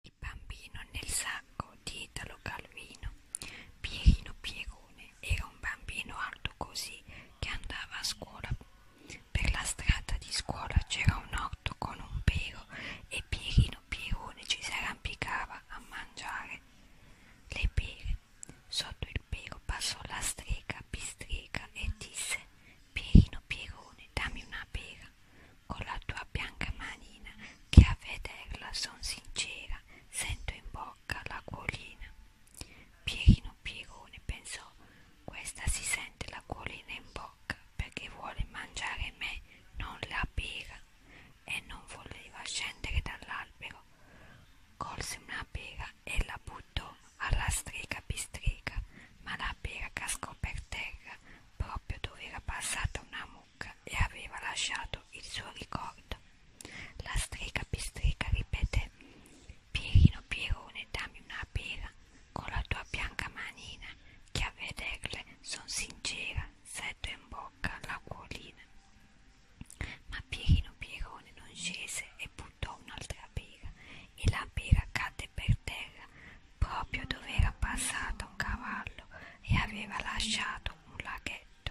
Il bambino nel sacco di Italo Calvino. Pierino Pierone era un bambino alto così che andava a scuola. Per la strada di scuola c'era un orto con un pero e Pierino Pierone ci si arrampicava a mangiare le pere. Sotto il pero passò la strega Pistrega e disse Pierino Pierone dammi una pera con la tua bianca manina che a vederla son sincera, sento in bocca l'acquolina. Pierino Pierone pensò, questa si sente l'acquolina in bocca perché vuole mangiare me, non la pera, e non voleva scendere dall'albero. Colse una pera e la buttò alla strega pistrega ma la birca scoppiò per terra proprio dove era passata una mucca e aveva lasciato il suo ricordo. La strega pistrica ripeté Pierino Pierone dammi una pera con la tua bianca manina che a vederle son sincera setto in bocca la cuolina. Ma Pierino Pierone non scese e buttò un'altra pera e la pera cadde per terra proprio dove era passato un cavallo e aveva lasciato un laghetto.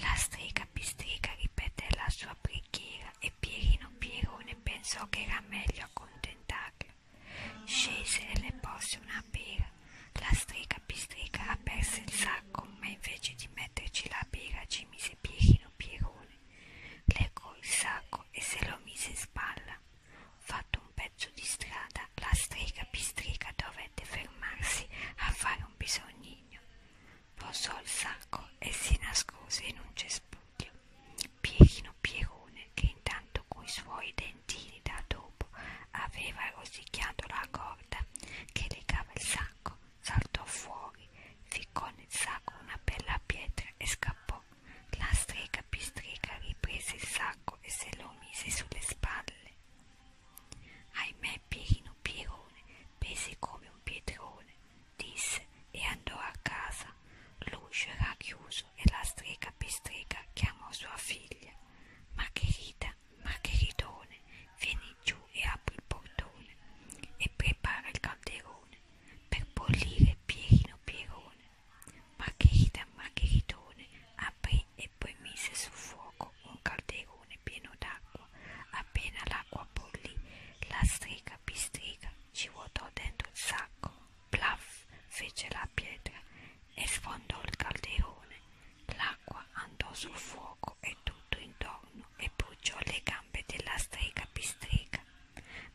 La strega pistrega ripeté la sua preghiera e Pierino Pierone pensò che era meglio accontentarlo. Scese e le porse una pera. La strega pistrega aperse il sacco, ma invece di metterci la pera ci mise Pierino Pierone. Legò il sacco e se lo mise in spalla. Fatto un pezzo di strada, la strega pistrica dovette fermarsi a fare un bisognino. Posò il sacco e si nascose in un cespuglio. Pierino Pierone, che intanto coi suoi dentini da dopo aveva rosicchiato la corda che legava il sacco, saltò fuori, ficcò nel sacco una bella pietra e scappò. La strega pistrica riprese il sacco e se lo mise sulle spalle. Ahimè Pirino Pirone pesi come un pietrone, disse e andò a casa. L'uscio era chiuso e la strega pistrica chiamò sua figlia. Margherita, Margheritone, vieni giù e apri il portone e prepara il calderone per bollire Pierino Pierone. Margherita Margheritone aprì e poi mise sul fuoco un calderone pieno d'acqua. Appena l'acqua bollì, la strega pistrica ci vuotò dentro il sacco, plaff fece la pietra e sfondò il calderone. La l'acqua andò sul fuoco e tutto intorno e bruciò le gambe della strega pistrega.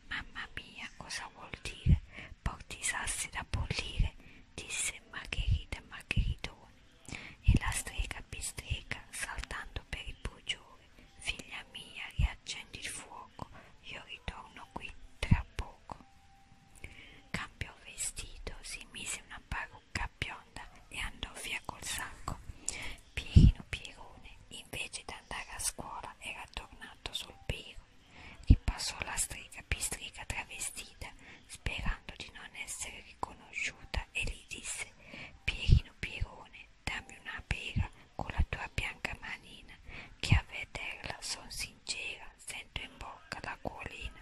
Mamma mia, cosa vuol dire? Porti i sassi da bollire, disse Margherita Margheritone. E la strega pistrega, saltando per il bruciore, figlia mia, riaccendi il fuoco, io ritorno qui tra poco. Cambiò vestito, si mise una parrucca parrucca bionda e andò via col sacco. Pierino Pierone, invece di andare a scuola, era tornato sul piro. Ripassò la strega pistrica travestita, sperando di non essere riconosciuta, e gli disse: Pierino Pierone, dammi una pera con la tua bianca manina, che a vederla son sincera, sento in bocca l'acquolina.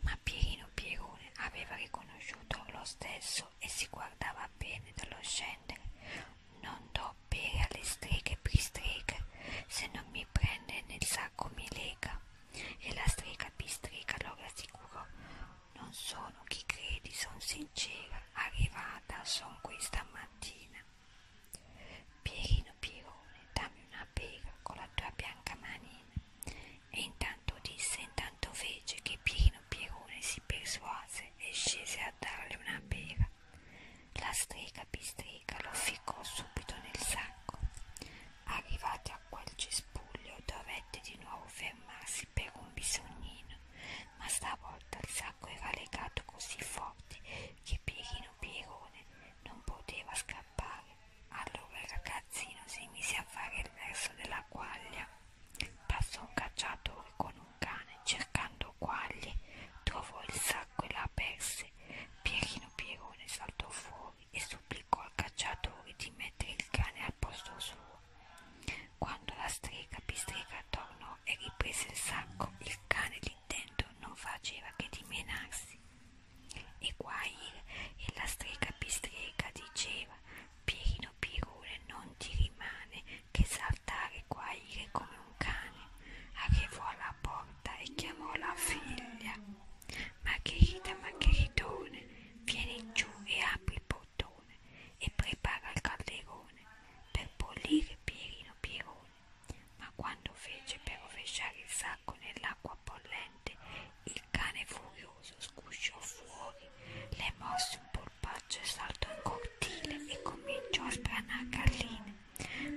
Ma Pierino Pierone aveva riconosciuto lo stesso e si guardava bene dallo scendere. Non do pere alle streghe pistriche, se non mi prende nel sacco mi lega. E la strega pistrica lo rassicurò. Non sono chi credi, son sincera, arrivata son qui stamattina. Pierino Pirone, dammi una pera con la tua bianca manina. E intanto disse, intanto fece che Pierino Pirone si persuase e scese a darle una pera. La strega pistrega lo ficcò subito nel sacco. Arrivati a quel cespuglio dovette di nuovo fermarsi per un bisognino, ma stavolta il sacco era legato così forte che Pierino Pierone non poteva scappare. Allora il ragazzino si mise a fare il verso della quaglia. Passò un cacciatore con un cane cercando quaglie, trovò il sacco e la perse. Pierino Pierone saltò fuori e supplicò al cacciatore di mettere il cane al posto suo. Quando la strega pistrega tornò e riprese il sacco. Il cane d'intento non faceva che dimenarsi. E guaire e la strega pistrega diceva Pierino Pirone non ti rimane che saltare e guaire come un cane. Arrivò alla porta e chiamò la figlia. Margherita Margheritone, vieni giù e apri il portone e prepara il calderone per bollire Pierino Pierone ma quando fece per rovesciare il sacco nell'acqua bollente, il cane furioso scusciò fuori, le mosse un polpaccio e saltò in cortile e cominciò a spranar galline.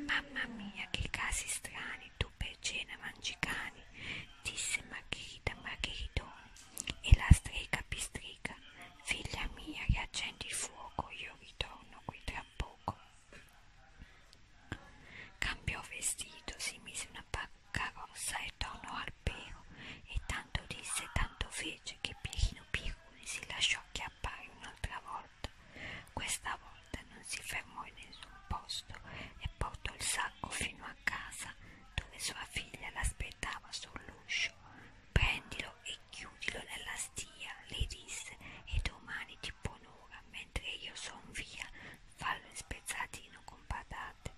Mamma mia, che casi strani, tu per cena mangi cani, disse Margherita Margheritone, e la strega pistrica Figlia mia, che accendi il fuoco, io ritorno qui tra poco. Cambiò vestito, si mise una carrozza e tornò al pero, e tanto disse e tanto fece che Pierino Piruni si lasciò acchiappare un'altra volta. Questa volta non si fermò in nessun posto e portò il sacco fino a casa, dove sua figlia l'aspettava sull'uscio, prendilo e chiudilo nella stia, le disse, e domani ti ponora, mentre io son via, fallo in spezzatino con patate.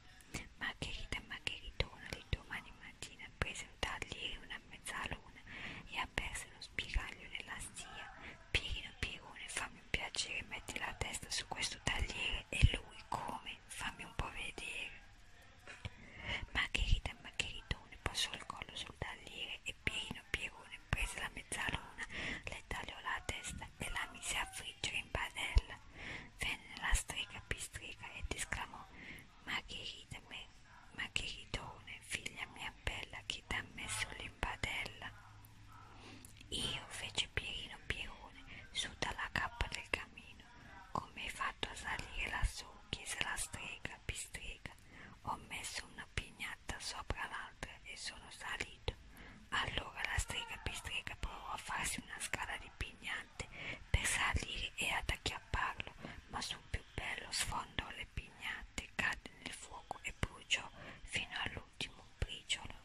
Margherita e Margheritona di domani mattina presero un tagliere una mezzaluna e aperse lo spiraglio nella stia. Pierino Pierone, fammi un piacere, metti la testa su questo tagliere e lui come? Fammi un po' vedere. Margherita e Margheritone passò il collo sul tagliere e Pierino Pierone prese la mezzaluna, le tagliò la testa e la mise a friggere in padella. Venne la strega pistrica ed esclamò Margherita me, Margheritone, figlia mia bella, chi t'ha messo l'impadella? Io fece Pierino Pierone su dalla cappa del camino come hai fatto a salire lassù? chiese la strega, pistrega. Ho messo una pignata sopra l'altra e sono salito. Allora la strega pistrega provò a farsi una scala di pignate per salire e ad acchiapparlo, ma sul più bello sfondò le pignate, cadde nel fuoco e bruciò fino all'ultimo briciolo.